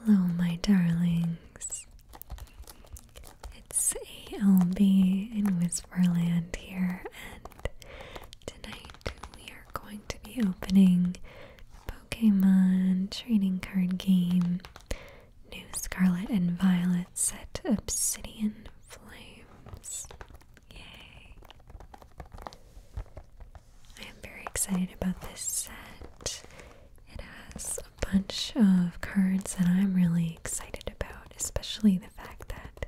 Hello, my darlings. It's ALB in Whisperland here, and tonight we are going to be opening Pokemon Trading Card Game New Scarlet and Violet Set Obsidian Flames. Yay! I am very excited about this set. It has a bunch of cards that I'm really excited about, especially the fact that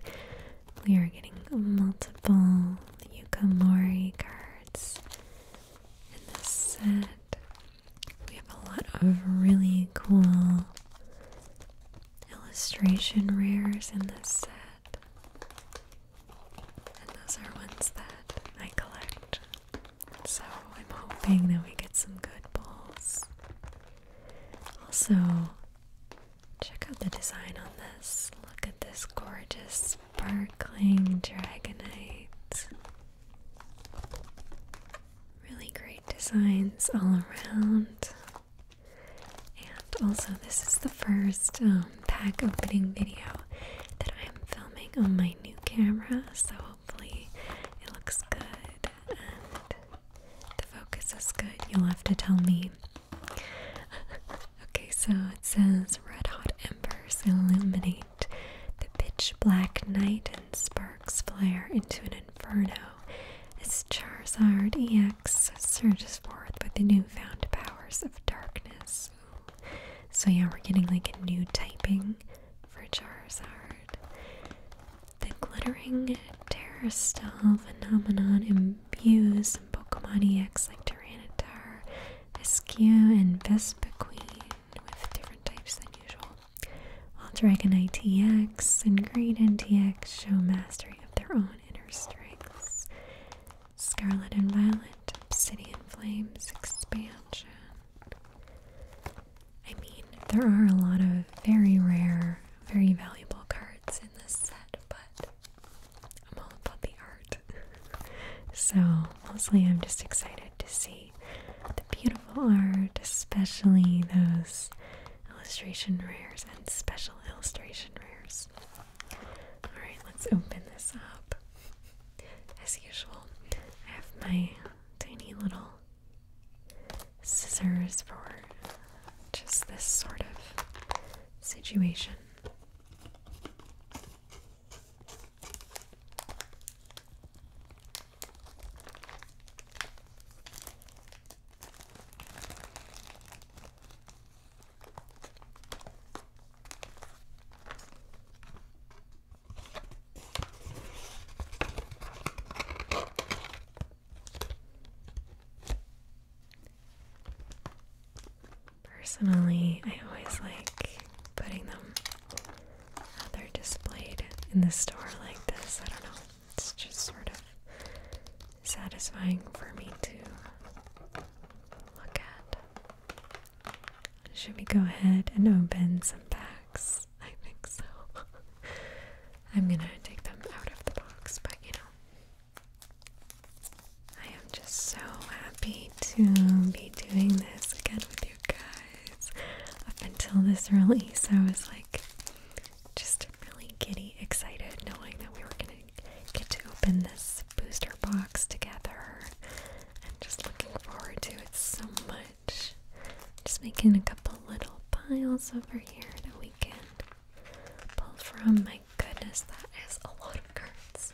we are getting multiple Yukamori cards in this set. We have a lot of really cool illustration rares in this set. And those are ones that I collect. So I'm hoping that we get some good balls. Also, check out the design on this. Look at this gorgeous sparkling dragonite. Really great designs all around. And also, this is the first um, pack opening video that I'm filming on my new camera, so hopefully it looks good and the focus is good. You'll have to tell me. okay, so it says red hot embers illuminate the pitch black night and sparks flare into an inferno as Charizard EX surges forth with the newfound powers of darkness. So yeah, we're getting like a new typing for Charizard. The glittering Terrastal phenomenon imbues some Pokemon EX like Tyranitar, Askew, and Vespiquen with different types than usual. While Dragonite TX and Greedent TX show mastery of their own inner strengths. Scarlet and Violet, Obsidian Flames, Expansion, I mean, there are a lot of very rare, very valuable cards in this set, but I'm all about the art. so, mostly I'm just excited to see the beautiful art, especially those illustration rares and special illustration rares. Alright, let's open this up as usual, I have my tiny little scissors for just this sort of situation. Personally, I always like putting them how they're displayed in the store like this. I don't know. It's just sort of satisfying for me to look at. Should we go ahead and open some packs? I think so. I'm gonna take them out of the box, but you know, I am just so happy to be doing this again with you guys. Up until this release, I was like just really giddy, excited, knowing that we were gonna get to open this booster box together. I'm just looking forward to it so much. Just making a couple little piles over here that we can pull from. My goodness, that is a lot of cards.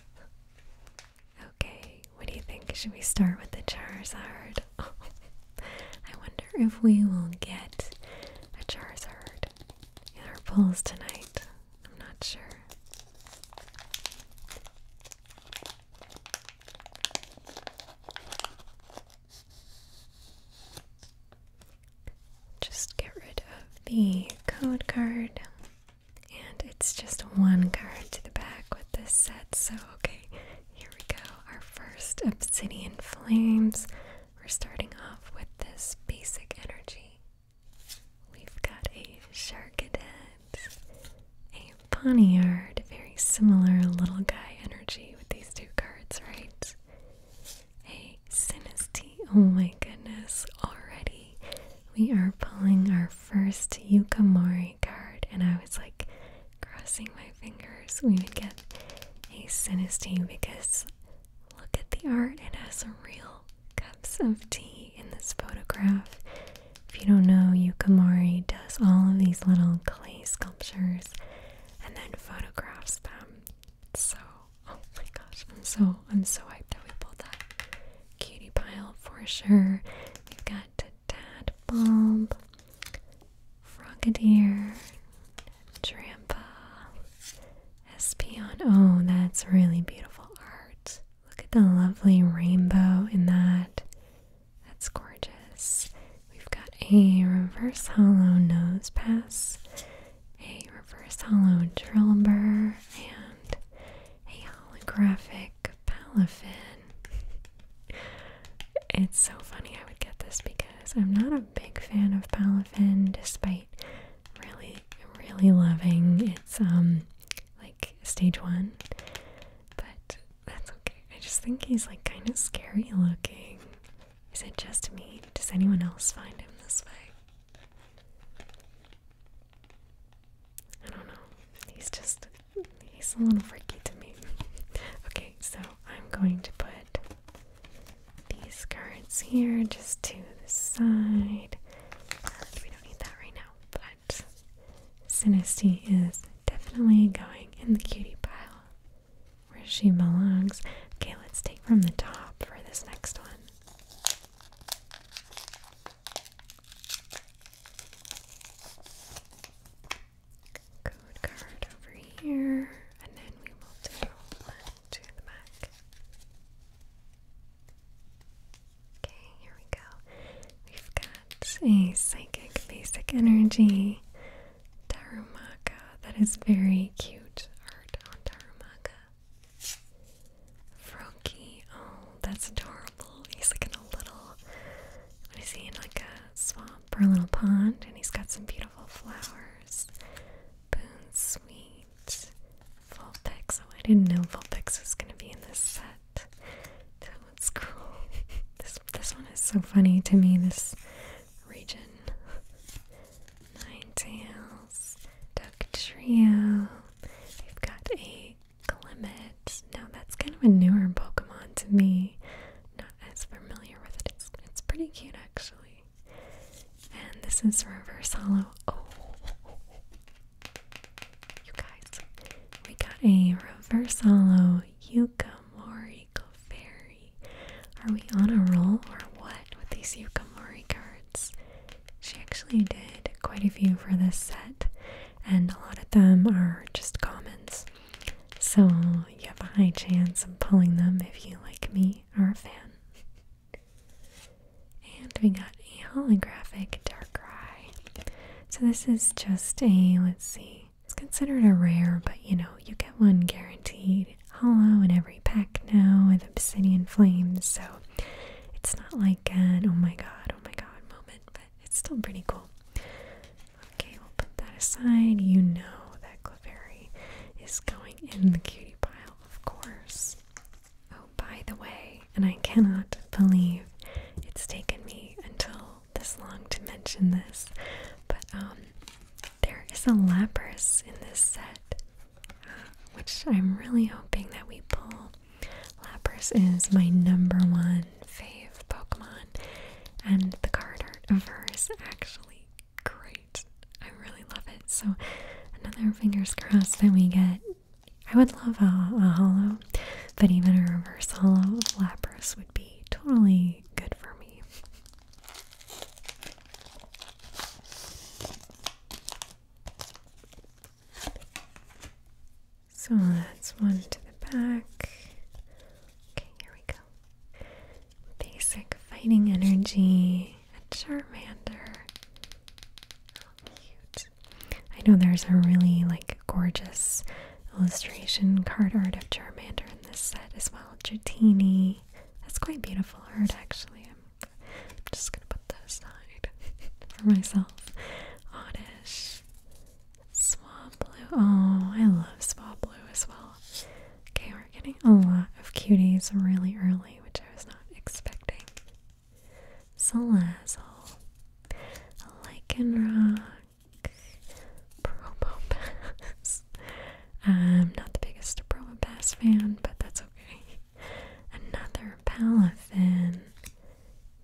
Okay, what do you think? Should we start with the Charizard? Oh, I wonder if we will get a Charizard in our pulls tonight. I'm not sure. Just get rid of the code card, and it's just one card to the back with this set. So, okay, here we go. Our first Obsidian Flames. We're starting off with this basic energy. We've got a Sharkadet, a Poniard, very similar little guy energy with these two cards, right? A Sinisty, oh my goodness, already we are pulling our first Yukamori card, and I was like crossing my fingers we would get a Sinisty because look at the art, it has real cups of tea in this photograph. If you don't know, Yukamori does all of these little clay sculptures and then photographs them. So, oh my gosh, I'm so I'm so hyped that we pulled that cutie pile for sure. We've got Tadbulb, Frogadier, Drampa, Espion. Oh, that's really beautiful art. Look at the lovely rainbow in that. That's gorgeous. We've got a reverse hollow nose pass, a reverse hollow trilber, and a holographic palafin. It's so funny I would get this because I'm not a big fan of palafin despite really, really loving its um like stage one, but that's okay. I just think he's like kind of scary looking. Is it just me? Does anyone else find him this way? I don't know. He's just, he's a little freaky to me. okay, so I'm going to put these cards here just to the side. we don't need that right now, but but is definitely going in the cutie pile where she belongs. Okay, let's take from the top for this next one. Code card over here, and then we will do the back. Okay, here we go. We've got a psychic basic energy Darumaka. That is very cute art on Darumaka. Froki. Oh, that's adorable. He's like in a little what is he in like a swamp or a little pond and he's got some beautiful flowers. Boon sweet. Vulpix. Oh, I didn't know Vulpix was gonna be in this set that. one's cool. this this one is so funny to me, this region. Nine tails, duck trio. they have got a Clement. Now that's kind of a newer Pokemon to me. Not as familiar with it. It's pretty cute actually. And this is Reverse Hollow. Oh, you guys, we got a reverse holo Yukamori Clefairy. Are we on a roll or what with these Yukamori cards? She actually did quite a few for this set, and a lot of them are just commons. So you have a high chance of pulling them if you, like me, or a fan. And we got a holographic Darkrai. So this is just a, let's see, it's considered a rare, but you know, you get one guaranteed hollow in every pack now with obsidian flames. So it's not like an oh my god, oh my god moment, but it's still pretty cool. Okay, we'll put that aside. You know that Clefairy is going in the cutie pile, of course. Oh, by the way, and I cannot believe it's taken me until this long to mention this, but um, there is a Lapras in this set, which I'm really hoping that we pull. Lapras is my number one fave Pokemon, and the card art of her actually great. I really love it. So, another fingers crossed that we get I would love a, hollow, but even a reverse hollow of Lapras would be totally good for me. So that's one to the back. Okay, here we go. Basic fighting energy, a Charmander. How oh, cute. I know there's a really like gorgeous illustration card art of Charmander in this set as well. Dratini. That's quite beautiful art actually. I'm, I'm just gonna put that aside for myself. Oddish. Swablu. Oh, I love Swablu as well. Okay, we're getting a lot of cuties really early, which I was not expecting. Salazzle, Lycanroc, Probopass. I'm not the biggest Probopass fan, but that's okay. Another Palafin.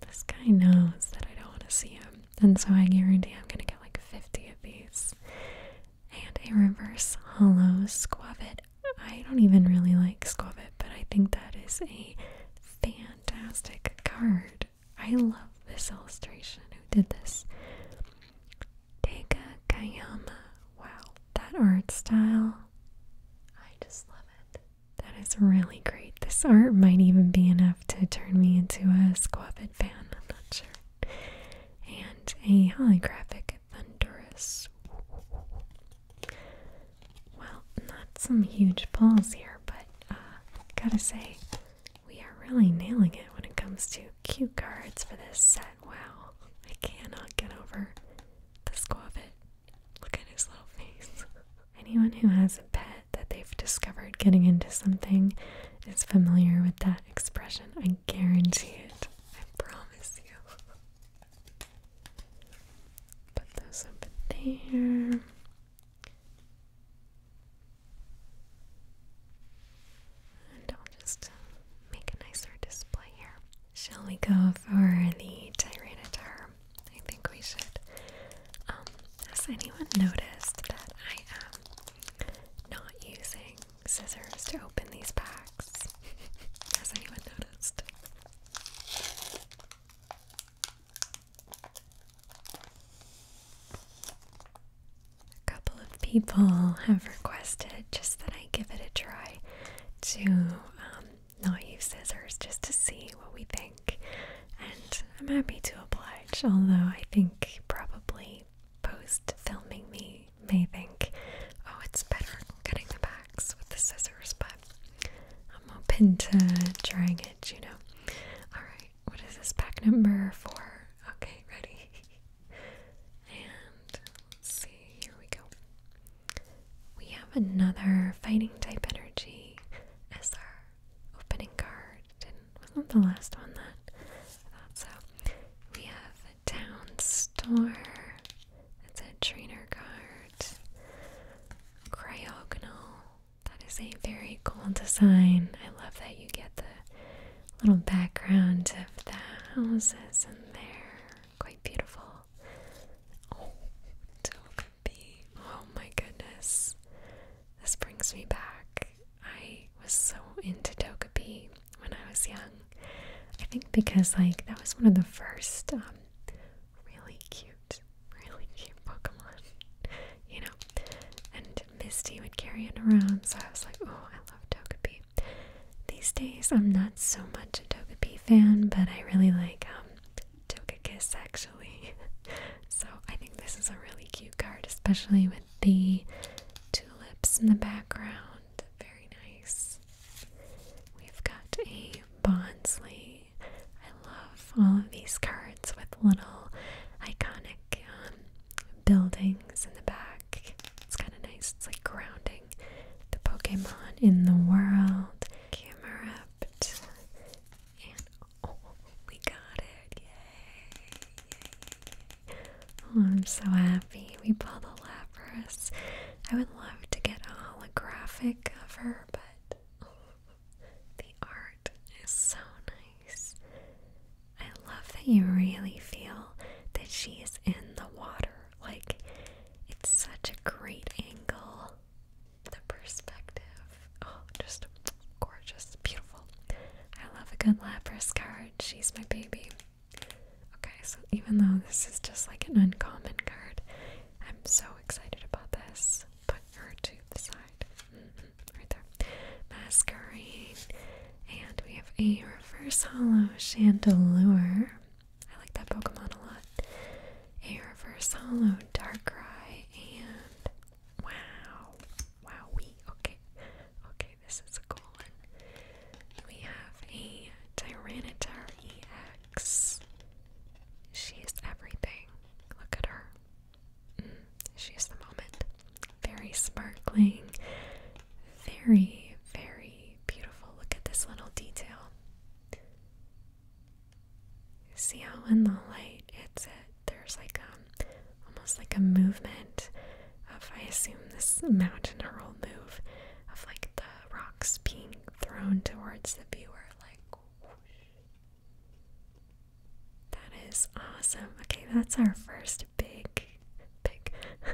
This guy knows that I don't want to see him, and so I guarantee I'm gonna get like 50 of these. And a reverse hollow Squavit. I don't even really like Squavit, but I think that is a fan fantastic card. I love this illustration. Who did this? Dega Kayama. Wow, that art style. I just love it. That is really great. This art might even be enough to turn me into a Squabbit fan. I'm not sure. And a holographic Thunderous. Well, not some huge balls here, but uh, gotta say, we are really nailing it when it comes to cue cards for this set. Wow, I cannot get over the squabbit. Look at his little face. Anyone who has a pet that they've discovered getting into something is familiar with that expression. I guarantee it. I promise you. Put those up there. And I'll just make a nicer display here. Shall we go for the Tyranitar? I think we should. Um, has anyone noticed that I am not using scissors to open these packs? has anyone noticed? A couple of people have requested just that I give it a try to um, not use scissors just to see what we think, and I'm happy to oblige, although I think probably post filming me may think, oh, it's better cutting the back with the scissors, but I'm open to trying it, you know. Alright, what is this pack number for? Okay, ready. and let's see, here we go. We have another fighting type energy as opening card. wasn't the last one that I thought so. We have a Down Store. It's a trainer card. Cryogonal. That is a very cool design. I love that you get the little background of the houses in there. Quite beautiful. Oh, Oh my goodness. This brings me back. I was so into Togepi when I was young. I think because like that was one of the first um, really cute really cute Pokemon, you know. And Misty would carry it around, so I was like, oh, I love Togepi. These days, I'm not so much a Togepi fan, but I really like um, Togekiss actually. so I think this is a really cute card, especially with the tulips in the background. Very nice. We've got a Bonsley I love all of these cards with little iconic um, buildings in the back. It's kind of nice. It's like grounding the Pokemon in the world. Camera up. And oh, we got it. Yay. Oh, I'm so happy. We pulled a Lapras. I would love to get a holographic of her, but. Oh. The art is so nice. I love that you really feel that she's in the water. Like, it's such a great angle. The perspective. Oh, just gorgeous. Beautiful. I love a good Lapras card. She's my baby. Okay, so even though this is just like an uncommon card, I'm so excited about this. Put her to the side. Mm-hmm. right there. Masquerade. And we have a reverse hollow chandelure. I like that Pokemon a lot. A reverse hollow Darkrai and wow. Wowie. Okay. Okay, this is a cool one. We have a Tyranitar EX. She's everything. Look at her. Mm. she's the moment. Very sparkling. Very, very beautiful. Look at this little detail. See how in the light it's it there's like um almost like a movement of I assume this mountain roll move of like the rocks being thrown towards the viewer like that is awesome. Okay, that's our first big, big,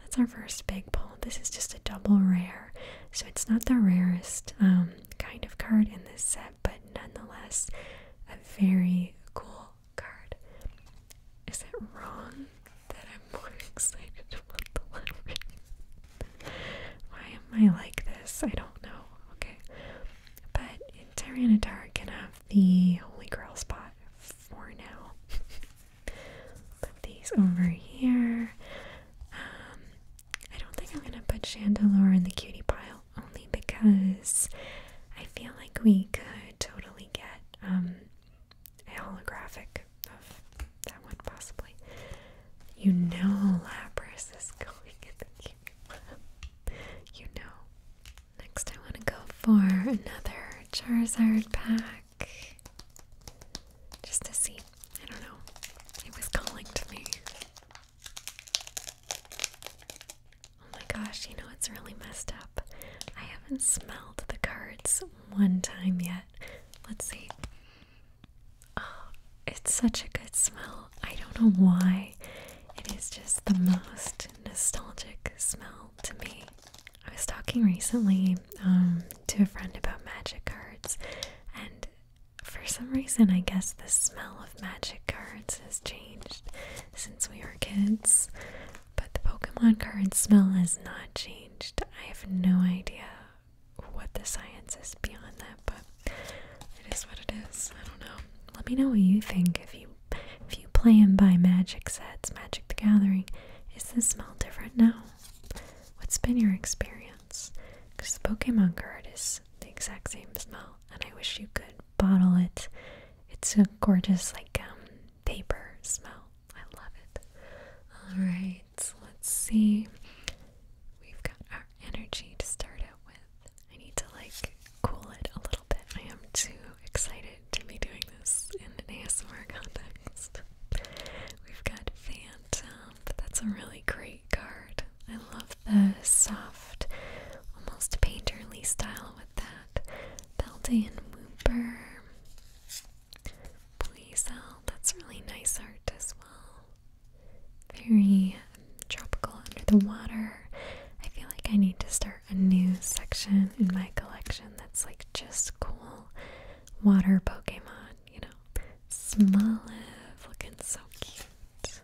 that's our first big pull. This is just a double rare, so it's not the rarest um, kind of card in this set, but nonetheless, a very cool card. Is it wrong that I'm more excited about the lettering? Why am I like this? I don't know. Okay. But Tyranitar can have the Holy Grail spot for now. put these over here. Um, I don't think I'm going to put Chandelier in the cutie pile only because I feel like we could totally get um, a holographic of that one possibly. You know Lapras is going in the you know. Next I want to go for another Charizard pack. Just to see. I don't know. It was calling to me. Oh my gosh, you know it's really messed up. I haven't smelled the cards one time yet. Let's see. Oh, it's such a good smell. I don't know why. It is just the most nostalgic smell to me. I was talking recently um, to a friend about magic cards, and for some reason, I guess the smell of magic cards has changed since we were kids. But the Pokemon card smell has not changed. I have no idea what the science is beyond that, but it is what it is. I don't know. Let me know what you think if you if you play and buy magic sets, Magic the Gathering. Is the smell different now? What's been your experience? Because the Pokemon card is the exact same smell, and I wish you could bottle it. It's a gorgeous, like, um, paper smell. I love it. Alright, so let's see. We've got our energy to start with. I need to like cool it a little bit. I am too excited to be doing this in an ASMR context. We've got Phantom, but that's a really great card. I love the soft, almost painterly style with that. Beltane Wooper. Please, that's really nice art as well very tropical under the water. I feel like I need to start a new section in my collection that's like just cool water Pokemon, you know. Smoliv looking so cute.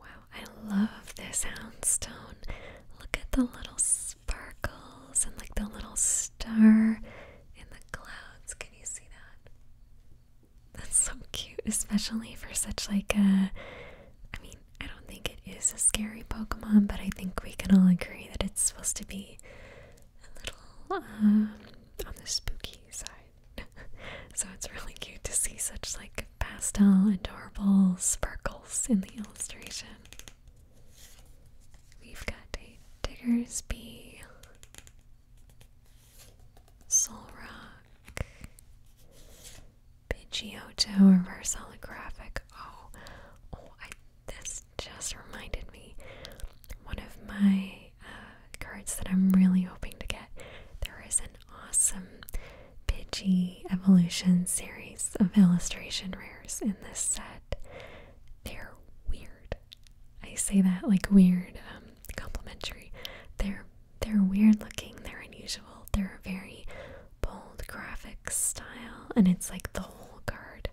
Wow, I love this houndstone. Look at the little sparkles and like the little star in the clouds. Can you see that? That's so cute, especially for such like a I mean, I don't think it is a scary Pokemon, but I think we can all agree that it's supposed to be a little um, on the spooky side. so it's really cute to see such like pastel adorable sparkles in the illustration. We've got a Diggersby Solrock, Pidgeotto, Reverse Holographic. Oh, oh! this just reminded me one of my uh, cards that I'm really hoping to get. There is an awesome Pidgey Evolution series of illustration rares in this set. They're weird. I say that like weird, um, complimentary. They're they're weird looking. They're unusual. They're a very bold graphic style, and it's like the whole card.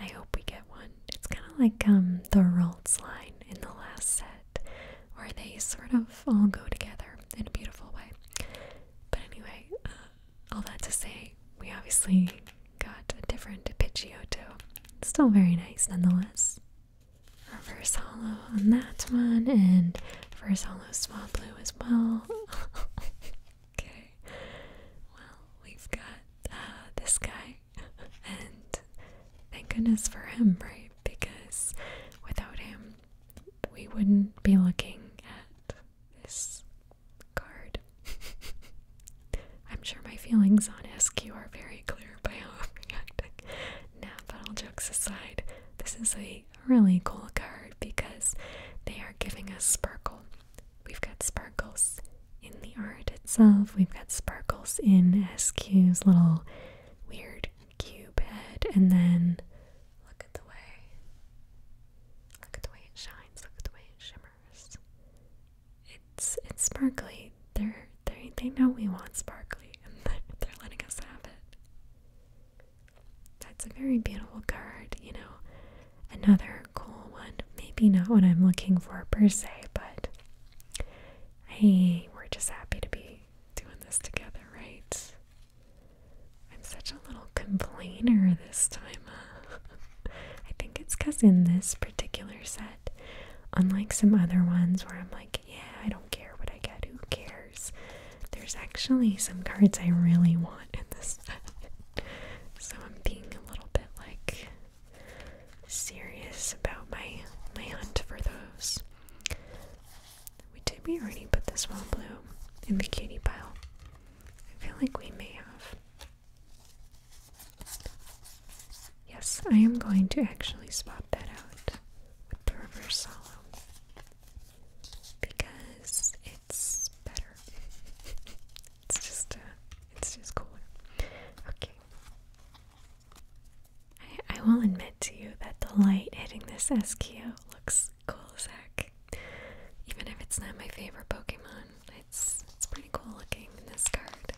I hope we get one. It's kind of like um the Rolts line in the last set, where they sort of all go together in a beautiful way. But anyway, uh, all that to say, we obviously got a different too, Still very nice nonetheless. Reverse hollow on that one, and reverse hollow blue as well. okay, well, we've got uh, this guy, and thank goodness for him, right? Because without him, we wouldn't be looking at this card. I'm sure my feelings on SQ are very clear by how I'm reacting. Now, but all jokes aside, this is a really cool card because they are giving us sparkle. We've got sparkles in the art itself, we've got sparkles in SQ's little weird cube head, and then look at the way. Look at the way it shines, look at the way it shimmers. It's it's sparkly. They're they they know we want sparkly, and they're letting us have it. That's a very beautiful card, you know. Another cool one. Maybe not what I'm looking for per se, but hey, we're just happy to be doing this together, right? I'm such a little complainer this time. Uh, I think it's because in this particular set, Unlike some other ones where I'm like, yeah, I don't care what I get, who cares? There's actually some cards I really want in this so I'm being a little bit like serious about my my hunt for those. We did we already put this one blue in the cutie pile. I feel like we may have. Yes, I am going to actually swap that out with the reverse solo because it's better. it's just uh, it's just cooler. Okay. I, will admit to you that the light hitting this SQ looks cool as heck. Even if it's not my favorite Pokemon, it's it's pretty cool looking in this card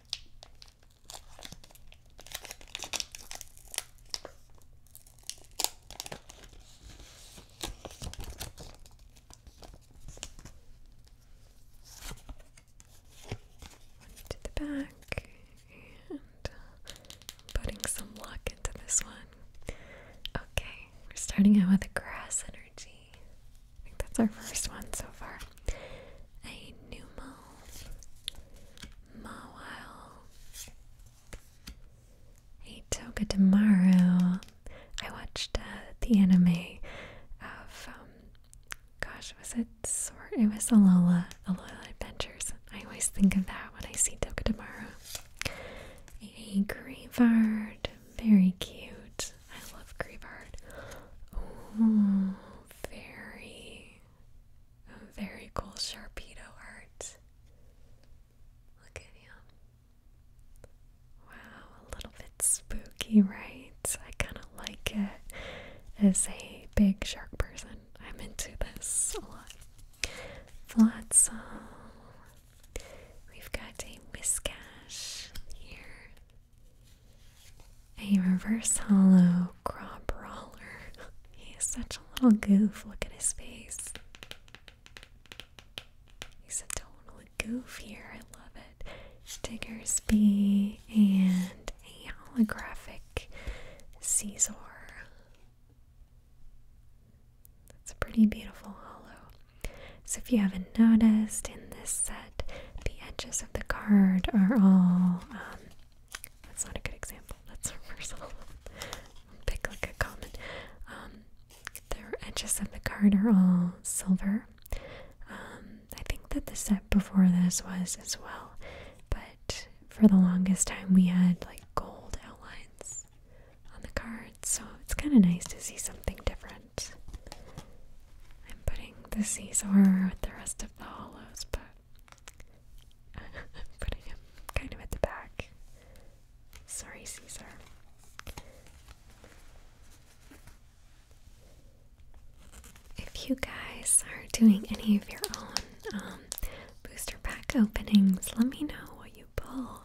to the back and uh, putting some luck into this one. Okay, we're starting out with a grass energy. I think that's our first one so far. A pneumo mawile. A Togedemaru. I watched uh, the anime of um, gosh was it sort it was Alola Alola Adventures. I always think of that when I see Togedemaru. A Grievard. Very cute. I love Grievard. Ooh very, very cool Sharpedo art. Look at him. Wow, a little bit spooky, right? I kind of like it as a big shark person. I'm into this a lot. Flotsam. We've got a Whiskash here. A reverse hollow craw brawler. He's such a little goof. Look at his face. He's a total goof here. I love it. Diggersby and a holographic Caesar. That's a pretty beautiful hollow. So if you haven't noticed in this set, the edges of the card are all. Um, that's not a good example. That's a reversal. Pick like a common. Um, the edges of the card are all silver. Um, I think that the set before this was as well, but for the longest time we had like gold outlines on the cards, so it's kind of nice to see something different. I'm putting the Caesar with the rest of the hollows, but I'm putting him kind of at the back. Sorry, Caesar. If you guys are doing any of your own um, booster pack openings, let me know what you pull.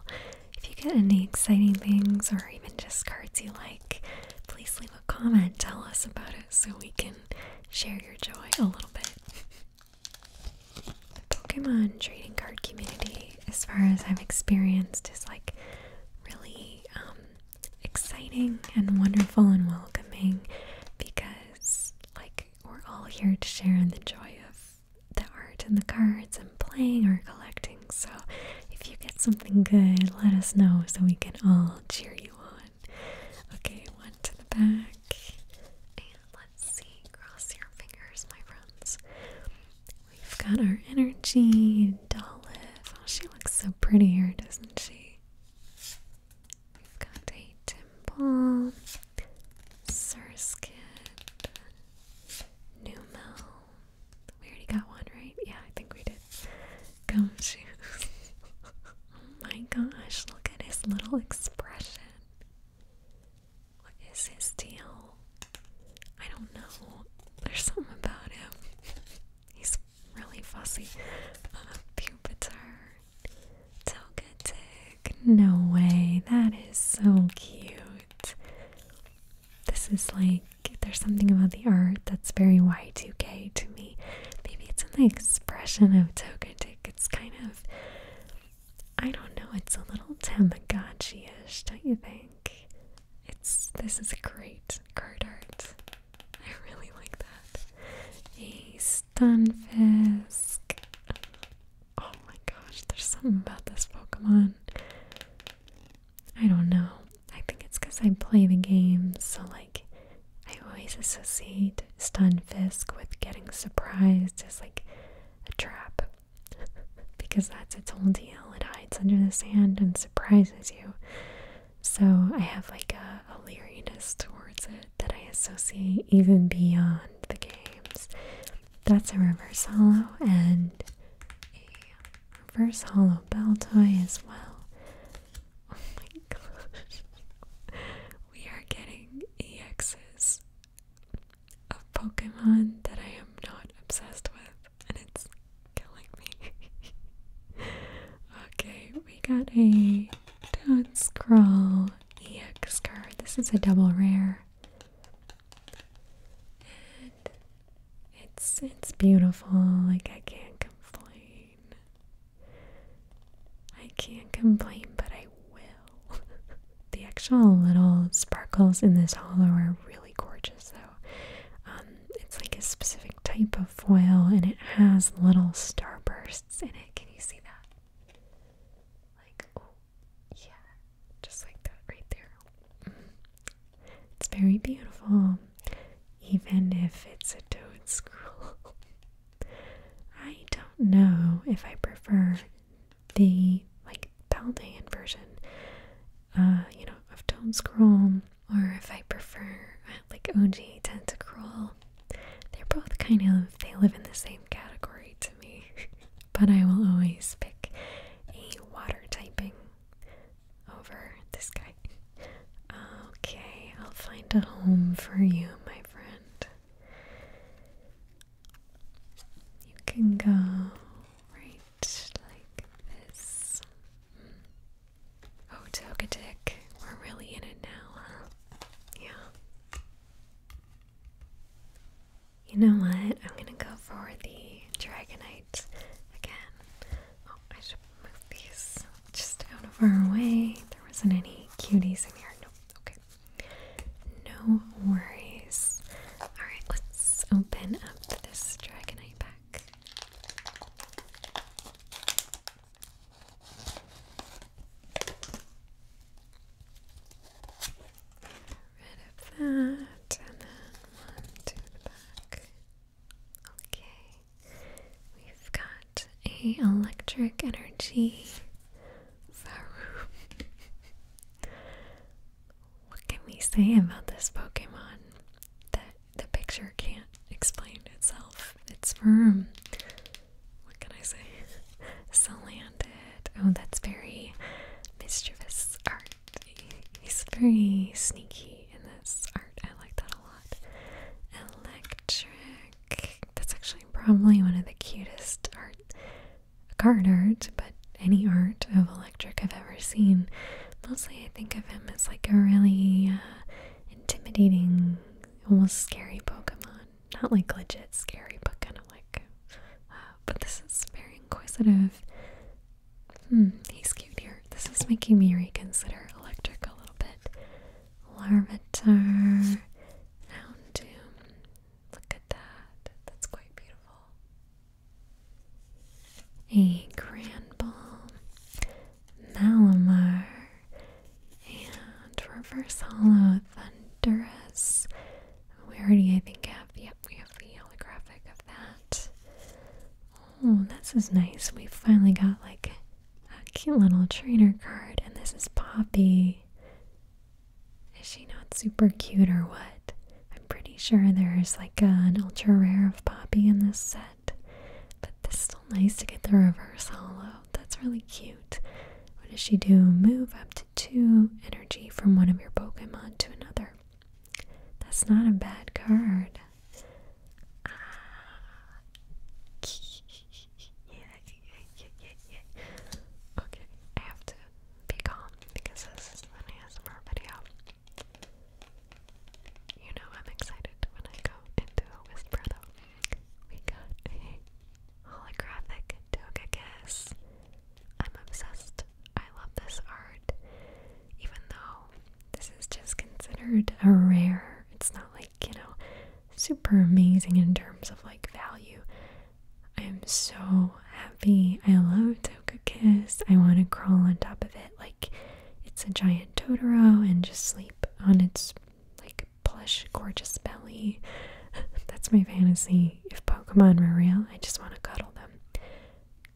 If you get any exciting things or even just cards you like, please leave a comment. Tell us about it so we can share your joy a little bit. The Pokemon trading card community, as far as I've experienced, is like really um, exciting and wonderful and welcoming because, like, we're all here to share in the joy of the art and the cards and playing or collecting. So, if you get something good, let us know so we can all cheer you. Okay, one to the back. And let's see. Cross your fingers, my friends. We've got our energy, Dolph. Oh, she looks so pretty here, doesn't she? We've got a Timble, Surskit, Numel. We already got one, right? Yeah, I think we did gum shoes. oh my gosh, look at his little expression. What is his deal? I don't know. There's something about him. He's really fussy. Uh, Pupitar. No way. That is so cute. This is like there's something about the art that's very Y2K to me. Maybe it's in the expression of Togetic. It's kind of, I don't know, it's a little Tamagotchi ish, don't you think? It's This is great card art. I really like that. A Stunfisk. Oh my gosh, there's something about this Pokemon. I don't know. I think it's because I play the games, so like I always associate Stun Fisk with getting surprised as like a trap. because that's its whole deal. It hides under the sand and surprises you. So I have like a, leeryness towards it that I associate even beyond the games. That's a reverse hollow and a reverse hollow bell toy as well. Oh my gosh. We are getting EXs of Pokemon that I am not obsessed with, and it's killing me. okay, we got a Don't Scroll EX card. This is a double rare. And it's it's beautiful, like I can't complain. I can't complain, but I will. the actual little sparkles in this hollow are really gorgeous, though. Um, it's like a specific type of foil, and it has little starbursts in it. Can you see that? Like, oh, yeah, just like that right there. It's very beautiful, even if it's a toad scroll. I don't know if I prefer the like Paldean version, uh, you know, of Toad Scroll, or if I prefer uh, like OG Tentacruel. They're both kind of they live in the same category to me, but I will always pick a water typing over this guy. Okay, I'll find a home for you, my friend. You can go right like this. Oh, Togetic, we're really in it now, huh? Yeah. You know what? I'm gonna go for the Dragonite again. Oh, I should move these just out of our way. There wasn't any cuties in here. No, okay. No worries. Alright, let's open up this Dragonite pack. Rid of that, and then one to back. Okay. We've got a electric energy Faroom. what can we say about this Pokemon? That the picture can't explain itself. It's firm. What can I say? Salandit. Oh, that's very mischievous art. He's very sneaky in this I like that a lot. Electric. That's actually probably one of the cutest art card art, but any art of electric I've ever seen. Mostly I think of him as like a really uh, intimidating, almost scary Pokemon. Not like legit scary, but kind of like. Uh, but this is very inquisitive Hmm, he's cute here. This is making me reconsider electric a little bit. Larvitar, Houndoom. Look at that. That's quite beautiful. A Granbull, Malamar, and Reverse Hollow Thunderous. We already, I think, have, yep, we have the holographic of that. Oh, this is nice. We finally got like a cute little trainer card, and this is Poppy. Is she not super cute or what? I'm pretty sure there's like an ultra rare of Poppy in this set, but this is still nice to get the reverse hollow. That's really cute. What does she do? Move up to two energy from one of your Pokemon to another. That's not a bad card. Okay, I have to be calm because this is an ASMR video. You know I'm excited when I go into a whisper We got a holographic Togekiss. I'm obsessed. I love this art. Even though this is just considered a rare. It's not like, you know, super amazing in terms of like value. I am so happy. I love Toka Kiss. I want to crawl on top of it like it's a giant Totoro and just sleep on its like plush, gorgeous belly. That's my fantasy. If Pokemon were real, I just want to cuddle them.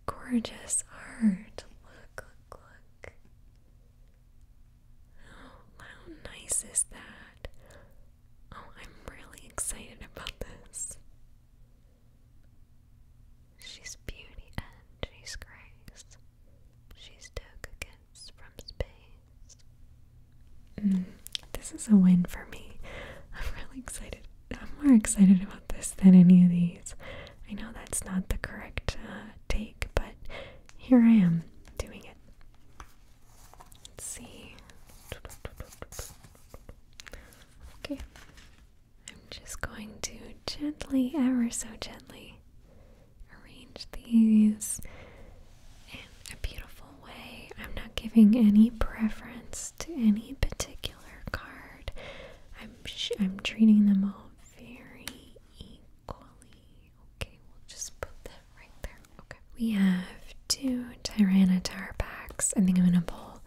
Gorgeous art. Look, look, how nice is that? Oh, I'm really excited about this. She's beauty and she's grace. She's took from space. Mm, this is a win for me. I'm really excited. I'm more excited about this than any of these. I know that's not the correct uh, take, but here I am doing it. Let's see. Okay. I'm just going to gently, ever so gently, arrange these in a beautiful way. I'm not giving any preference to any particular card. I'm I'm treating them all very equally. Okay, we'll just put that right there. Okay. We have two Tyranitarpax. I think I'm gonna pull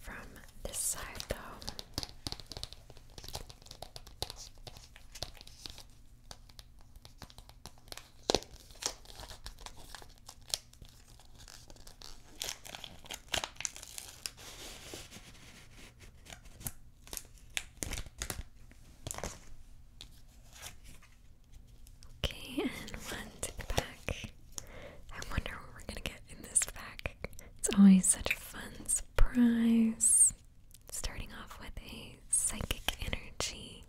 from this side though. Okay, and one tick I wonder what we're gonna get in this pack. It's always such a fun surprise. Starting off with a psychic energy.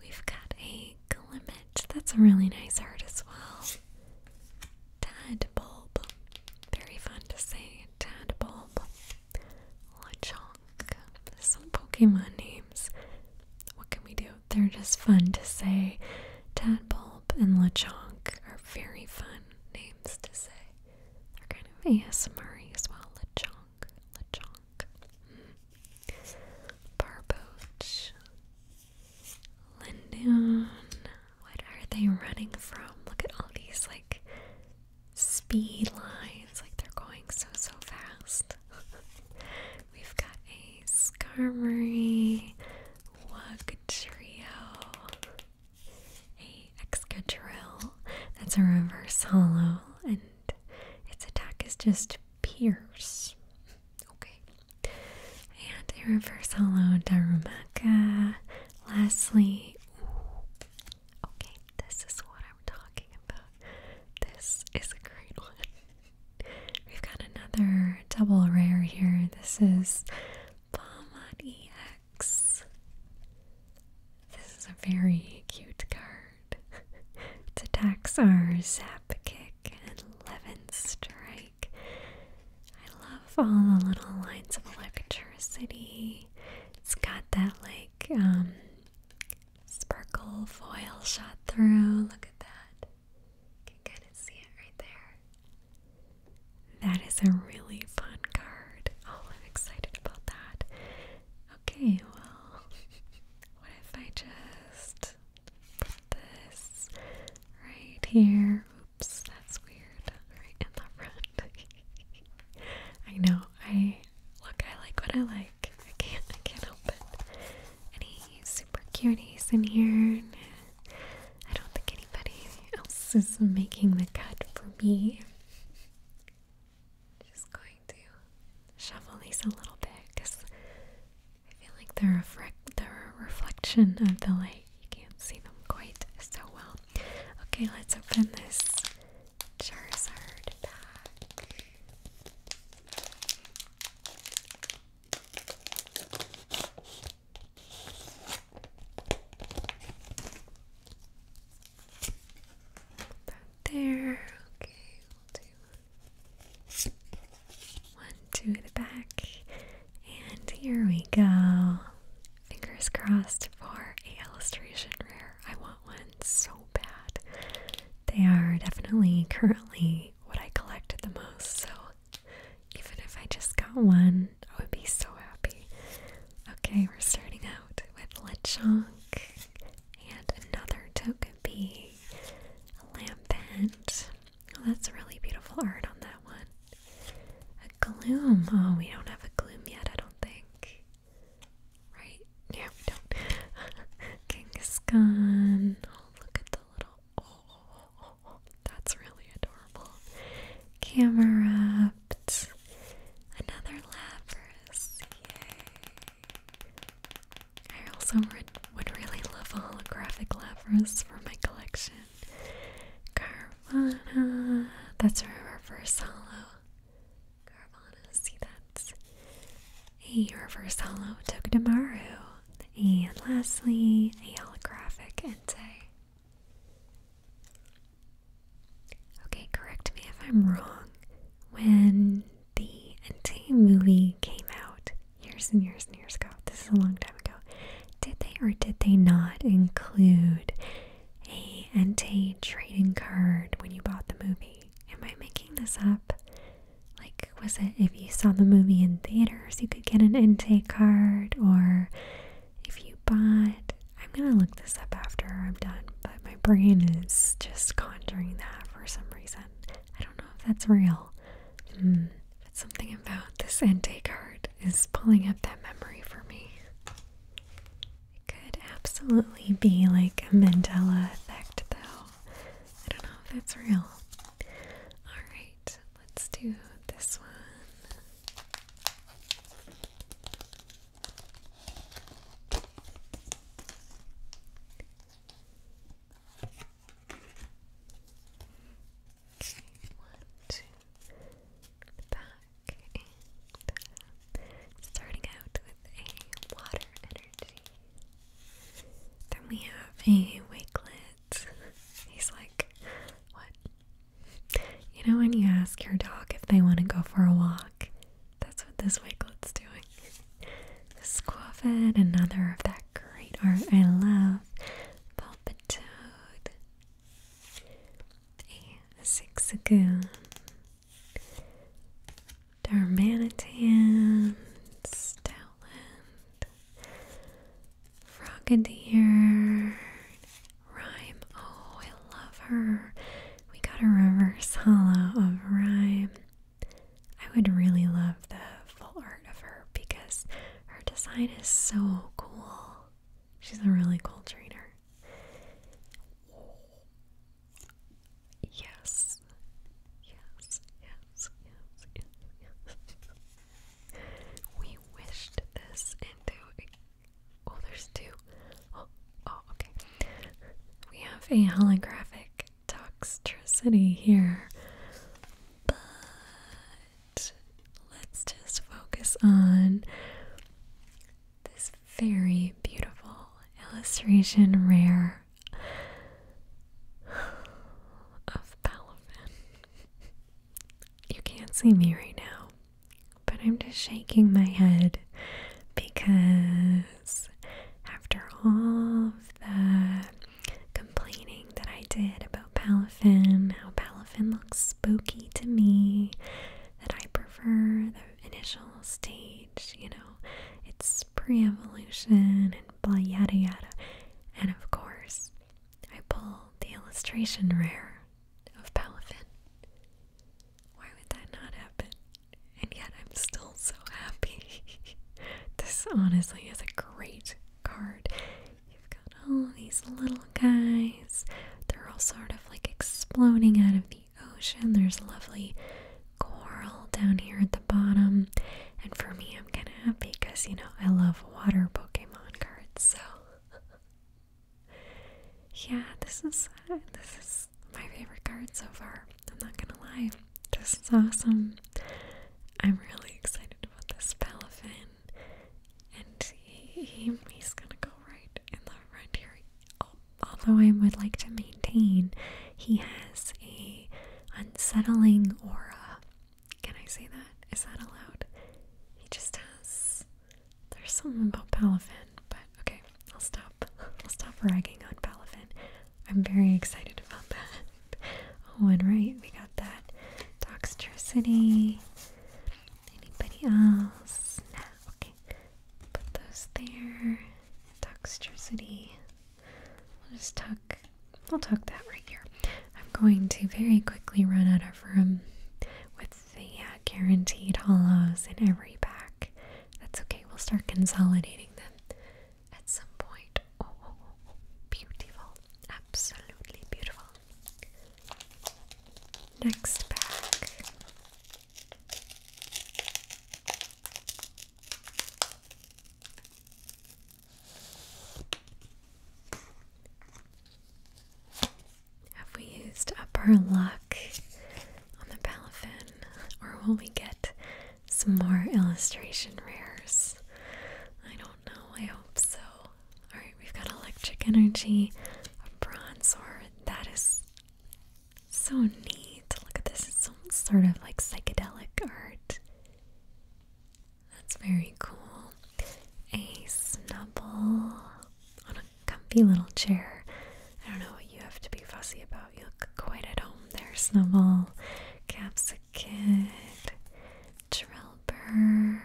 We've got a Glimmet. That's a really nice art as well. Tadpole. Very fun to say. Tadbulb, Lechonk. Some Pokemon names. What can we do? They're just fun to say. Tadbulb and Lechonk are very fun names to say. They're kind of ASMR as well. Lechonk, Lechonk. Mm. Barboach, what are they running from? Look at all these like speed lines, like they're going so so fast. We've got a Skarmory, Wugtrio, a Excadrill. That's a reverse hollow, and its attack is just pierce. Okay. And a reverse hollow Darumaka. Lastly, Okay, this is what I'm talking about. This is a great one. We've got another double rare here. This is Palmon This is a very cute card. its attacks are Zap Kick and Eleven Strike. I love all the little lines of electricity. It's got that like um sparkle foil shot through. Look at that. can kind of see it right there. That is a really fun card. Oh, I'm excited about that. Okay, well, what if I just put this right here? that's weird. Right in the front. I know. I look. I like what I like. I can't. I can't help it. And he's super cuties in here. I don't think anybody else is making the cut for me. Just going to shovel these a little bit because I feel like they're a, they're a reflection of the light. You can't see them quite so well Okay, let's open this Charizard pack. Put there. Okay, we'll the back. And here we go. Fingers crossed for a illustration rare. I want one so bad. They are definitely currently what I collect the most, so even if I just got one, I would be so happy. Okay, we're starting out with Lechonk and another token Togepi. Lampent. Oh, that's really beautiful art on that one. A gloom. Oh, we don't have a gloom yet, I don't think. Right? Yeah, we don't. Genghis Khan. Oh, look at the little. Oh, that's really adorable. Camera upped. Another Lapras. Yay. I also would, would really love a holographic Lapras for my collection. Carvana. That's her reverse hollow. Carvana, see that's a reverse hollow Togedemaru. And lastly, a holographic Entei. Okay, correct me if I'm wrong. When the Entei movie came out years and years and years ago, this is a long time ago, did they or did they not include a Entei trading card when you bought the movie. Am I making this up? Like, was it if you saw the movie in theaters, you could get an Entei card, or if you bought. I'm gonna look this up after I'm done, but my brain is just conjuring that for some reason. I don't know if that's real. Mm, it's something about this Entei card is pulling up that memory for me. It could absolutely be like a Mandela effect, though. I don't know if that's real. Alright, let's do this one one, two, back, and starting out with a water energy. Then we have a wakelet. He's like, what? You know when you ask your dog if they want to go for a walk? That's what this wakelet's doing. This another of that great art I love. Pulpitoad. Sixagoon, Darmanitan, Stoutland, Frogadier, Rhyme. Oh, I love her. We got a reverse hollow of Rhyme. I would really love the full art of her because her design is so cool. She's a really cool trainer. Yes. Yes, yes, yes, yes, yes. we wished this into Oh, there's two. Oh, oh, okay. We have a holographic toxicity here let's just focus on this very beautiful illustration rare of Palafin. You can't see me right now, but I'm just shaking my head because after all of the complaining that I did about Palafin Palafin, how Palafin looks spooky to me, that I prefer the initial stage, you know, it's pre-evolution and blah yada yada. And of course, I pull the illustration rare of Palafin. Why would that not happen? And yet I'm still so happy. this honestly is a great card. You've got all these little guys. They're all sort of like exploding out of the ocean. There's lovely coral down here at the bottom. And for me, I'm kind of happy because, you know, I love water Pokemon cards. So, yeah, this is uh, this is my favorite card so far. I'm not gonna lie. This is awesome. I'm really excited about this Palafin and he, he's gonna go right in the front here. Although I would like to maintain, he has a unsettling aura. Can I say that? Is that allowed? He just has. There's something about Palafin, but okay, I'll stop. I'll stop ragging on Palafin. I'm very excited about that. Oh, and right, we got that Doxtricity. Anybody else? No, okay. Put those there. Dexterity. We'll just tuck, we'll tuck that right here. I'm going to very quickly run out of room with the uh, guaranteed hollows in every pack. That's okay, we'll start consolidating them at some point. Oh, oh, oh, oh. beautiful. Absolutely beautiful. Next pack. Have we used up our luck on the Palafin, or will we get some more illustration rares? I don't know, I hope so. Alright, we've got electric energy, a bronze sword. That is so neat. Look at this. It's almost sort of like psychedelic art. That's very cool. A snubble on a comfy little chair. I don't know what you have to be fussy about. You look quite at home there, Snubble. Capsicid, Drillbur,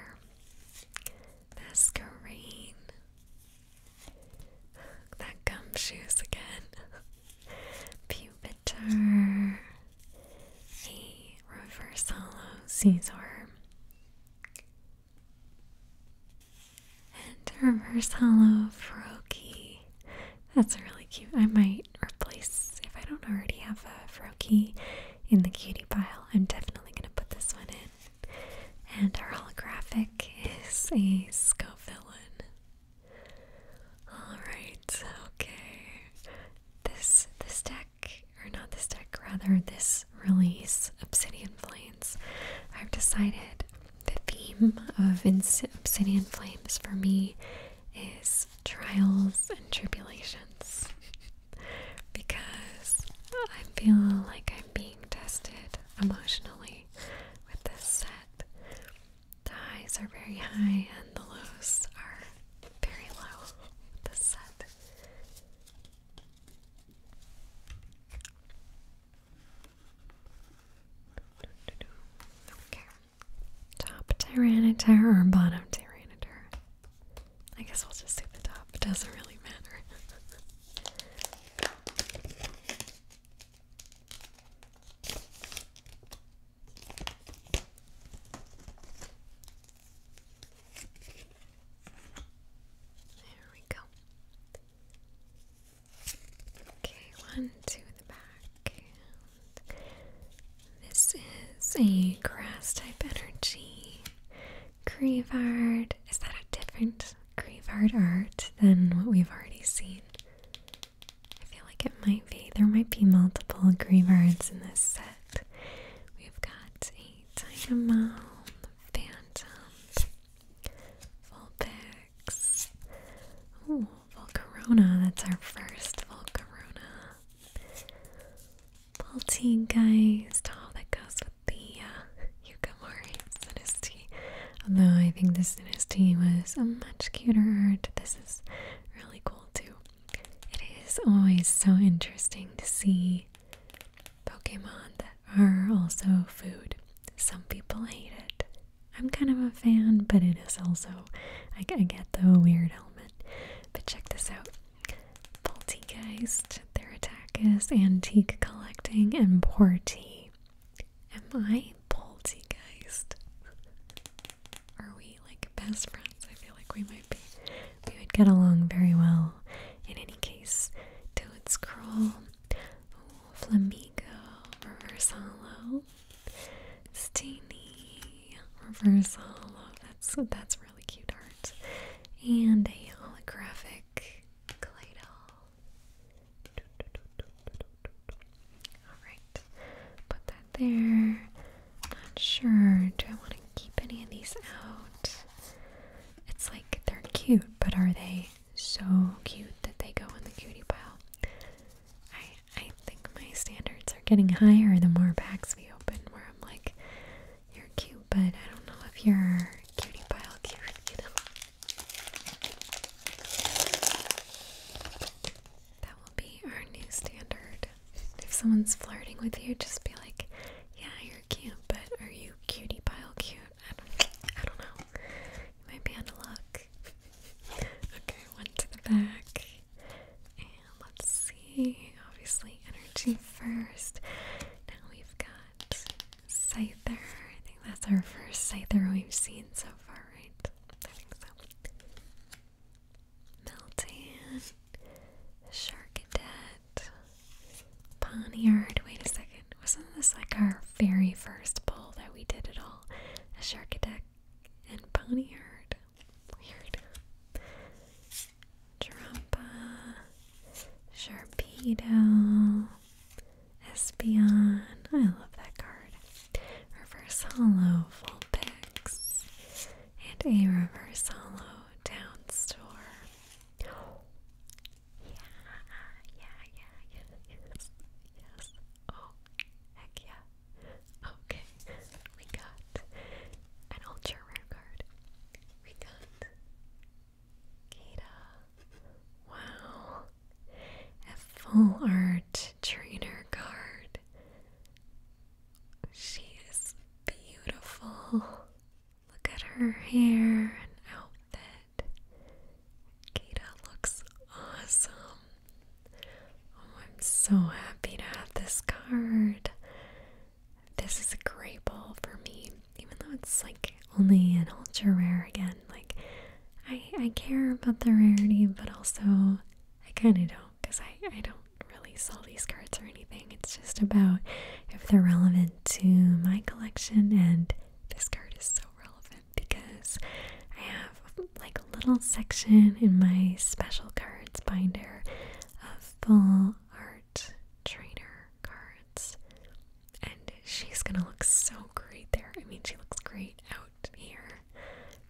the That gumshoes again. Pupitar. A reverse hollow Caesar. And reverse hollow Froakie. That's really cute. I might replace, if I don't already have a Froakie in the cutie pile, I'm definitely going to put this one in. And our holographic is a Sco villain. Alright, okay. This this deck, or not this deck, rather this release, Obsidian Flames. I've decided the theme of Obsidian Flames for me is trials and tribulations. because I feel like I'm being tested emotionally with this set. The highs are very high and the lows are very low with this set. Okay. Top Tyranitar or bottom Tyranitar? I guess we'll just do the top. It doesn't really matter. There we go. Okay, one to the back. this is a grass type energy. Creevard. Is that a different Creevard art than what we've already seen? I feel like it might be. There might be multiple Grievards in this set. We've got a Dynamo, Phantom, Vulpix. Ooh, That's our first Volcarona. Poltergeist, all oh, that goes with the uh, Yukimori Sinisty. Although I think the Sinisty was a much cuter art. This is really cool too. It is always so interesting to see Pokemon that are also food. Some people hate it. I'm kind of a fan, but it is also, I get the weird element. But check this out. Baltigeist, their attack is antique collecting and poor Am I Baltigeist? Are we like best friends? I feel like we might be. We would get along very well. In any case, Toad Scroll, Ooh, Flamingo, Reverse Hollow, That's that's really cute art. And a holographic Kaleido. Alright, put that there. Not sure. Do I want to keep any of these out? It's like they're cute, but are they so cute that they go in the cutie pile? I I think my standards are getting higher the more packs we open where I'm like, you're cute, but I don't know if you're cutie pile cute. That will be our new standard. If someone's flirting with you, just be like, "Yeah, you're cute, but are you cutie pile cute?" I don't, I don't know. You might be out of luck. okay, one to the back, and let's obviously, energy first. Now we've got Scyther. I think that's our first Scyther we've seen so far, right? I think so. Meltan, Sharkadet, Ponyard. Wait a second. Wasn't this like our very first pull that we did at all? A Sharkadet and Ponyard. Weird. Trumpa, Sharpedo, Espion. I love that card. Reverse Hollow, Vulpix, and a Reverse Hollow Down Store. yeah, yeah, yeah, yeah, yes, yes. Oh, heck yeah. Okay, we got an ultra rare card. We got Kata. Wow. A full art trainer card. She is beautiful. Look at her hair and outfit. Kata looks awesome. Oh, I'm so happy to have this card. This is a great ball for me, even though it's like only an ultra rare again. Like I care about the rarity, but also I kind of don't because I I don't really sell these cards or anything. It's just about if they're relevant to my collection, and this card is so relevant because I have like a little section in my special cards binder of full art trainer cards. And she's gonna look so great there. I mean, she looks great out here,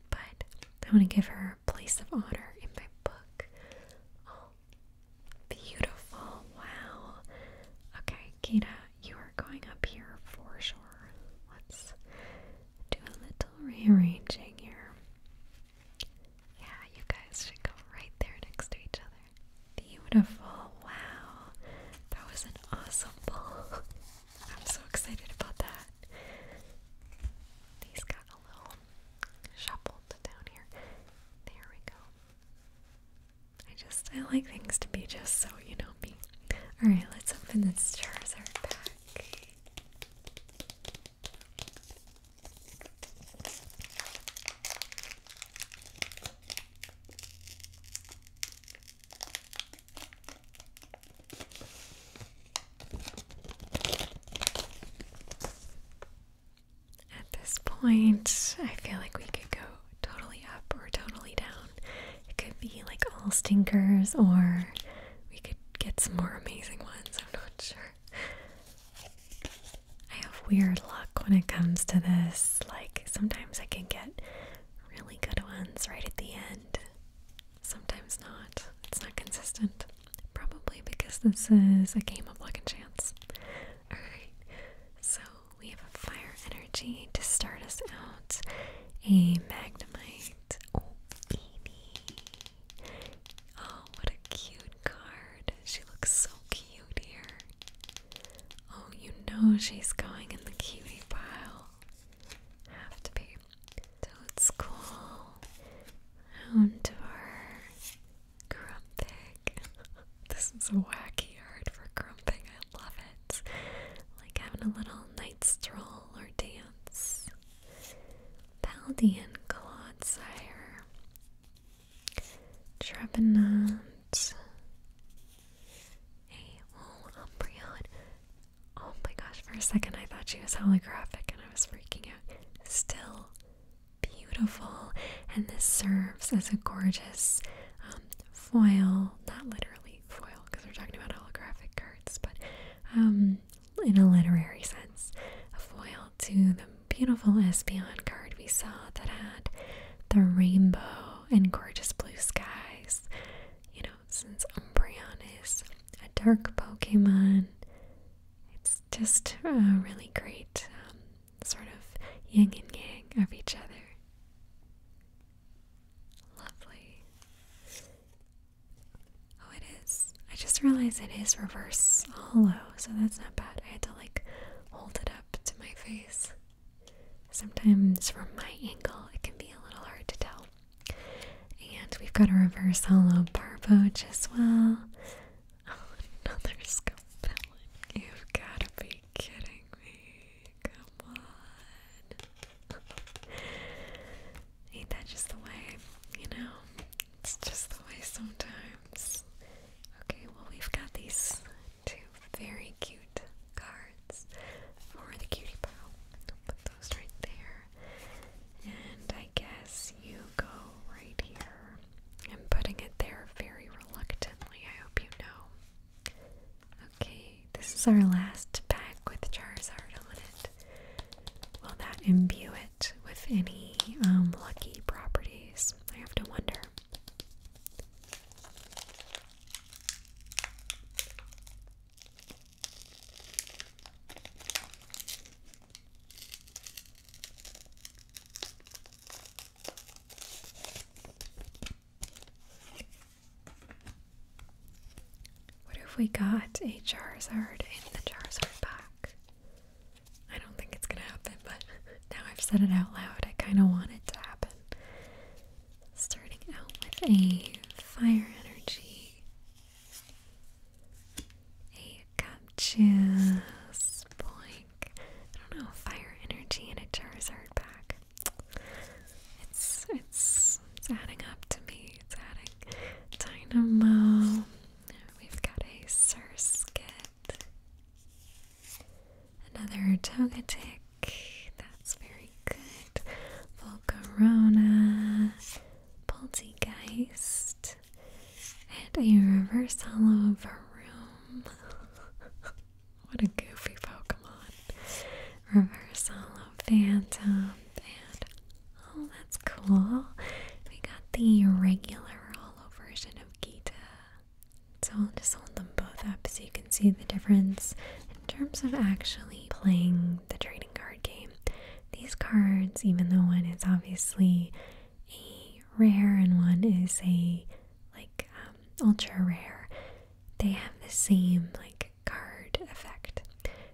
but I want to give her a place of honor in my book. Oh, beautiful! Wow. Okay, Kita, you are going up here for sure. Let's do a little rearranging here. Yeah, you guys should go right there next to each other. Beautiful. Wow. That was an awesome I'm so excited about that. These got a little shuffled down here. There we go. I just, I like things to be just so you know me. Alright, let's open this Charizard pack. At this point, I feel like we could go totally up or totally down. It could be like all stinkers, or we could get some more amazing ones. I'm not sure. I have weird luck when it comes to this. Like, sometimes I can get really good ones right at the end, sometimes not. It's not consistent. Probably because this is a game of luck and chance. Alright, so we have a fire energy to start us out, a magnemite. Oh, baby. Oh, what a cute card. She looks so cute here. Oh, you know she's going in the cutie pile. Have to be. Toad's cool. Houndour. Grumpig. this is a wacky art for grumpig. I love it. Like having a little night stroll or dance. Paldean Clodsire. Trevenant, a whole Umbreon. Oh my gosh, for a second I thought she was holographic and I was freaking out. Still beautiful, and this serves as a gorgeous um, foil, not literally foil because we're talking about holographic cards, but um, in a literary sense, a foil to the beautiful Espeon card we saw that had the rainbow and gorgeous blue skies. You know, since Umbreon is a dark Pokemon, it's just a really great um, sort of yin and yang of each other. Lovely. Oh, it is I just realized it is reverse hollow, so that's not bad. I had to like hold it up to my face. Sometimes from my angle, it can be a little hard to tell. And we've got a reverse hollow bar as well. another scapellin. You've got to be kidding me. Come on. Ain't that just the way, you know? It's just the way sometimes. Okay, well, we've got these two very cute cards for the cutie pile. i put those right there. And I guess you go right here. I'm putting it there very reluctantly, I hope you know. Okay, this is our last pack with Charizard on it. Will that imbue it? with any um, lucky properties. I have to wonder. What have we got? A Charizard in the Charizard pack. I don't think it's gonna happen, but now I've said it out loud, I kind of want it to happen. Starting out with a fire energy, a Gotchas Boink. I don't know, fire energy and a Charizard pack. It's, it's, it's adding up to me. It's adding Dynamo, We've got a Surskit, another Togetic, that's very good. Volcarona, Poltegeist, and a reverse hollow Varum. what a goofy Pokemon. Reverse hollow Phantom, and oh, that's cool. We got the regular hollow version of Gita. So I'll just hold them both up so you can see the difference in terms of actually playing the trading card game. These cards, even though one is obviously a rare and one is a like um, ultra rare, they have the same like card effect.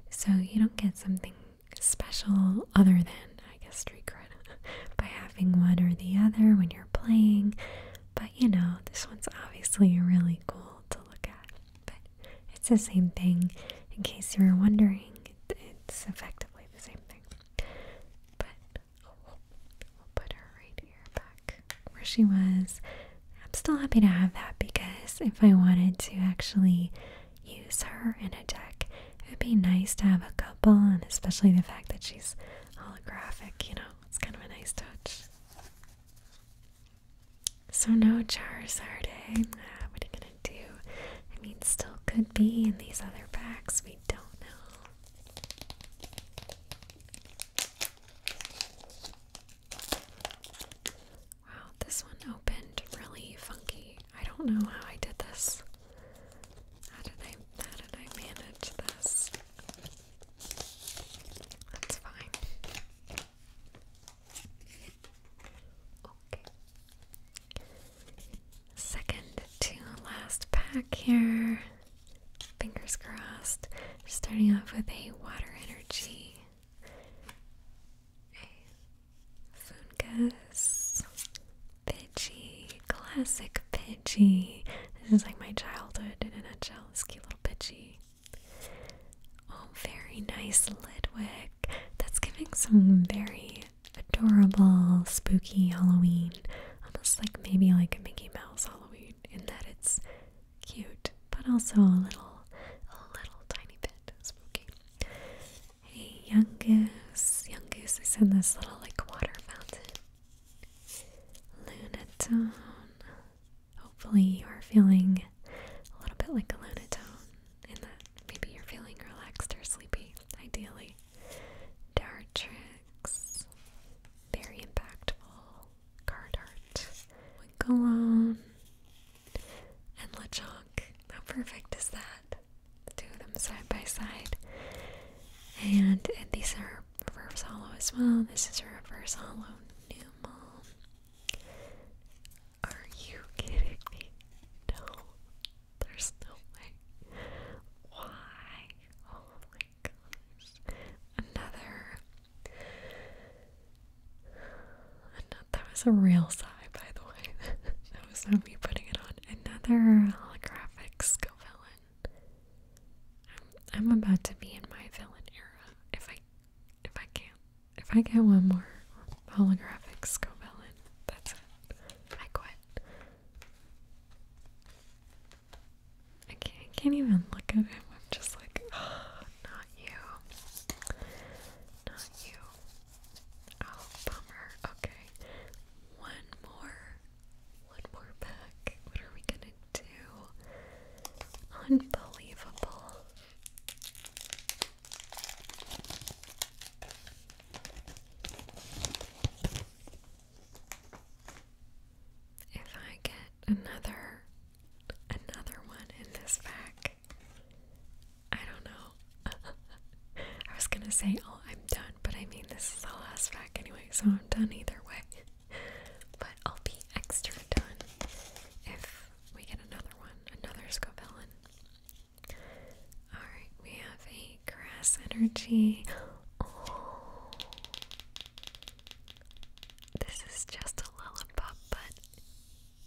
So you don't get something special other than, I guess, street cred by having one or the other when you're playing. But you know, this one's obviously really cool to look at. But it's the same thing, in case you were wondering. it's effectively the same thing. But we'll put her right here back where she was. I'm still happy to have that because if I wanted to actually use her in a deck. It would be nice to have a couple, and especially the fact that she's holographic, you know, it's kind of a nice touch. So, no Charizard, eh? what are you gonna do? I mean, still could be in these other packs, we don't know. Wow, this one opened really funky. I don't know how I did this. How did I how did I manage this? That's fine. Okay. Second to last pack here. Fingers crossed. starting off with a water energy. A Fungus, Pidgey, classic Pidgey. This is like my childhood in a nutshell, this cute little Pidgey. Oh, very nice Lidwick. That's giving some very adorable, spooky Halloween. Almost like maybe like a Mickey Mouse Halloween in that it's cute, but also a little, a little tiny bit spooky. Hey, young goose, young goose is in this little like water fountain. Lunatone. Hopefully, you are feeling a little bit like a lunatone, in that maybe you're feeling relaxed or sleepy, ideally. Dartrix. Very impactful. Card art. Winkalone. And LeChonk. How perfect is that? the them side by side. And, these are reverse hollow as well. This is a reverse hollow new mom. Are you kidding me? No. There's no way. Why? Oh my gosh. Another that was a real sigh, by the way. That me putting it on. Another holographic skill I'm, I'm about to be in my villain era. If I, if I can't, if I get one more holographic skill that's it. I quit. I can't, can't even look at him. I'm just like, oh, not you. Not you. Oh, bummer. Okay. One more. One more pack. What are we gonna do? Unbelievable. If I get another another one in this pack, I don't know. I was gonna say, oh, I'm done, but I mean, this is the last pack anyway, so I'm done either way. but I'll be extra done if we get another one, another Scovillain. Alright, we have a grass energy. This is just a lollipop, but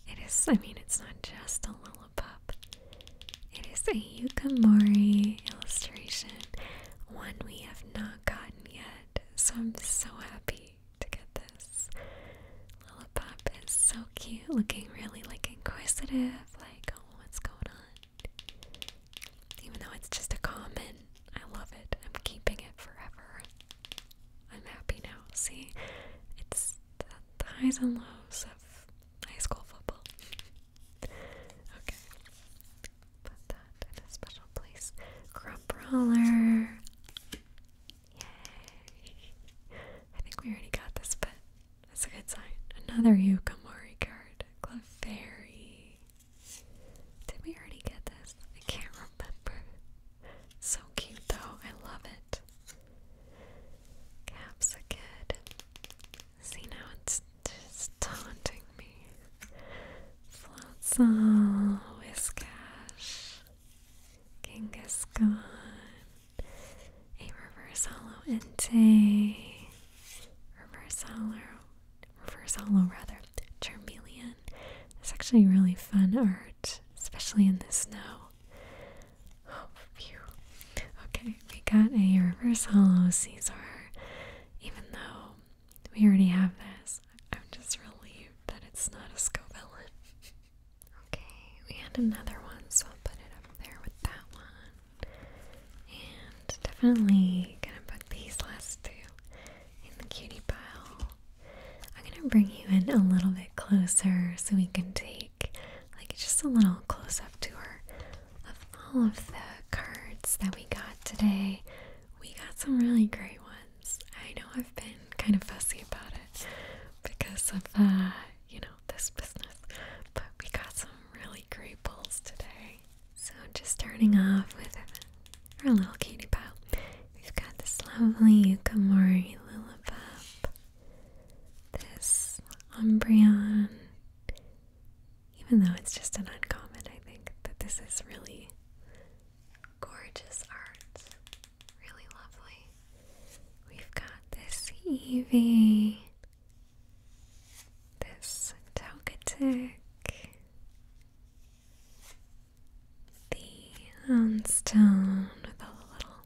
it is, I mean, it's not just a lollipop. Lollipop. It is a Yukamori illustration, one we have not gotten yet, so I'm so happy to get this. Lollipop is so cute, looking really like inquisitive, like, oh, what's going on? Even though it's just a common, I love it. I'm keeping it forever. I'm happy now. See, it's the highs and lows of high school football. Okay. Put that in a special place. Grump Yay. I think we already got this, but that's a good sign. Another Yukamori card. Clefairy. Did we already get this? I can't remember. So cute though. I love it. Caps a kid. See now it's just taunting me. Floatzel, Whiskash, Genghis-Khan, a reverse halo Entei, reverse halo, reverse hollow rather, Charmeleon. It's actually really fun art, especially in the snow. Oh, phew. Okay, we got a reverse hollow Caesar. Even though we already have this, I'm just relieved that it's not a Scovella. okay, we had another one, so I'll put it up there with that one. And definitely gonna put these last two in the cutie pile. I'm gonna bring you in a little bit closer so we can take like just a little close up to her of all of the cards that we got today, we got some really great ones. I know I've been kind of fussy about it because of uh, you know, this business, but we got some really great pulls today. So just starting off with our little cutie pie, We've got this lovely Yukamori Lillipop, this Umbreon, even though it's just an uncommon, I think that this is really gorgeous art. Really lovely. We've got this Evie, this Togetic, the um, stone the little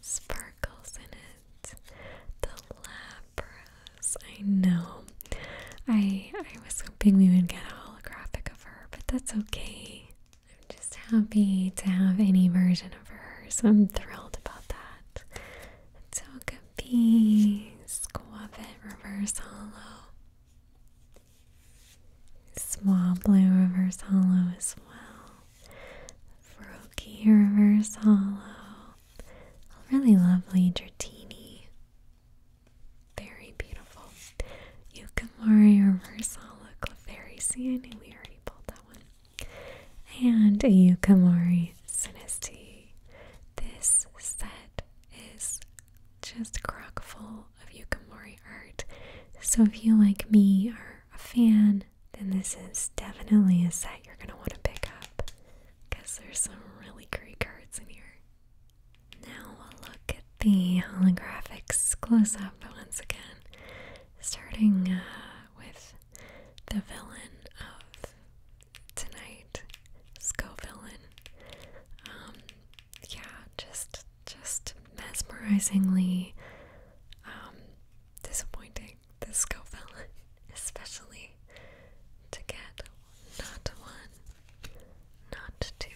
sparkles in it. The Lapras. I know. I I was hoping we would get a holographic of her, but that's okay. I'm just happy to have any version of her, so I'm thrilled about that. It's so good. Reverse Hollow. Swablu Reverse Hollow as well. Faroki Reverse Hollow. really lovely Dratini. Very beautiful. Yukamari Reverse Hollow Clefairy. See, I knew we already pulled that one. And a Yukamori Sinisty. This set is just crock full of Yukamori art. So if you, like me, are a fan one, then this is definitely a set you're going to want to pick up because there's some really great cards in here. Now we'll look at the holographics close up once again, starting uh, with the villain of tonight, Sco Villain. Um, yeah, just just mesmerizingly um, disappointing the Scovelin, especially to get not one, not two,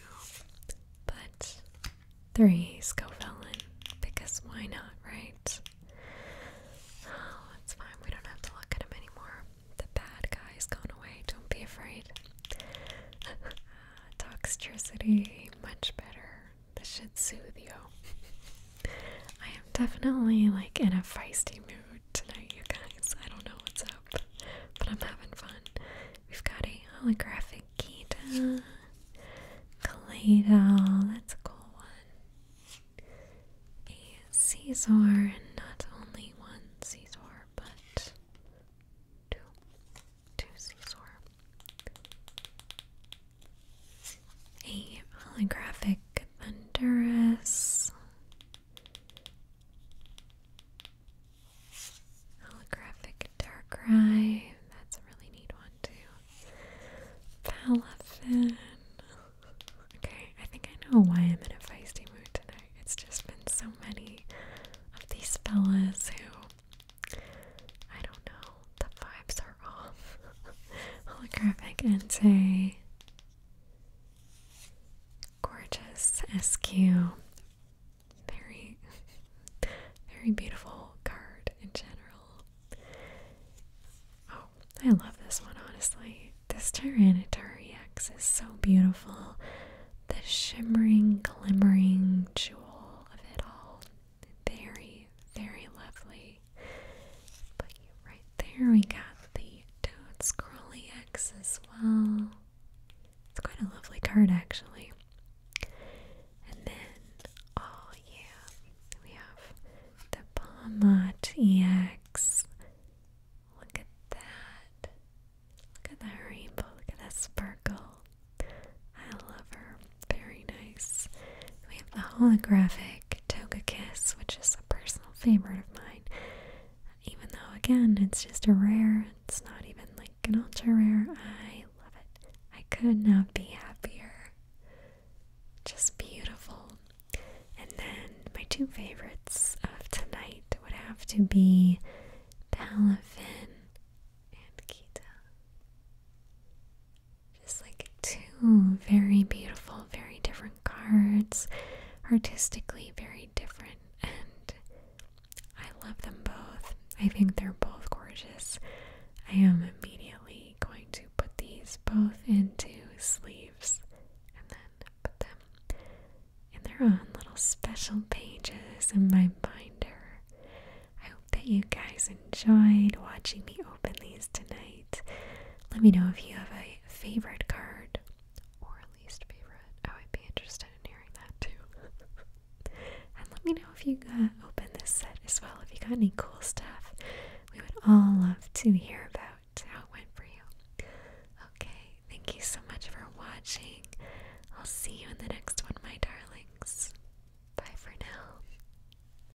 but three Scovelin, because why not, right? Oh, it's fine, we don't have to look at him anymore. The bad guy's gone away, don't be afraid. Toxtricity, much better. This should soothe you. I am definitely like in a feisty mood tonight, you guys. I don't know what's up, but I'm having fun. We've got a holographic Gita, Kaladol, that's a cool one. A Caesar, and not only one Caesar, but two. Two Caesar a holographic Thunderous, holographic Darkrai, that's a really neat one too. Palafin. Okay, I think I know why I'm in a feisty mood tonight. It's just been so many of these fellas who I don't know the vibes are off. Holographic and say, gorgeous SQ. Very, very beautiful card in general. Oh, I love this one, honestly. This Tyranitar EX is so beautiful. The shimmering, glimmering jewel of it all. Very, very lovely. right there we got the Toad Scrolly X as well. It's quite a lovely card actually. And then, oh yeah, we have the Palmot X. Look at that. Look at that rainbow. Look at that sparkle. I love her. Very nice. We have the holographic Toga Kiss, which is a personal favorite of mine. Even though, again, it's just a rare, it's not even like an ultra rare. I love it. I could not be happier. Just beautiful. And then my two favorites of tonight would have to be Palafin and Kita. Just like two very beautiful, very different cards, artistically very different, and I love them both. I think they're both gorgeous. I am immediately going to put these both into sleeves and then put them in their own little special pages in my binder. I hope that you guys enjoyed watching me open these tonight. Let me know if you have a favorite card or least favorite. I would be interested in hearing that too. and let me know if you got open this set as well. If you got any cool stuff, we would all love to hear about how it went for you. Okay, thank you so much for watching. I'll see you in the next one, my darlings. Bye for now.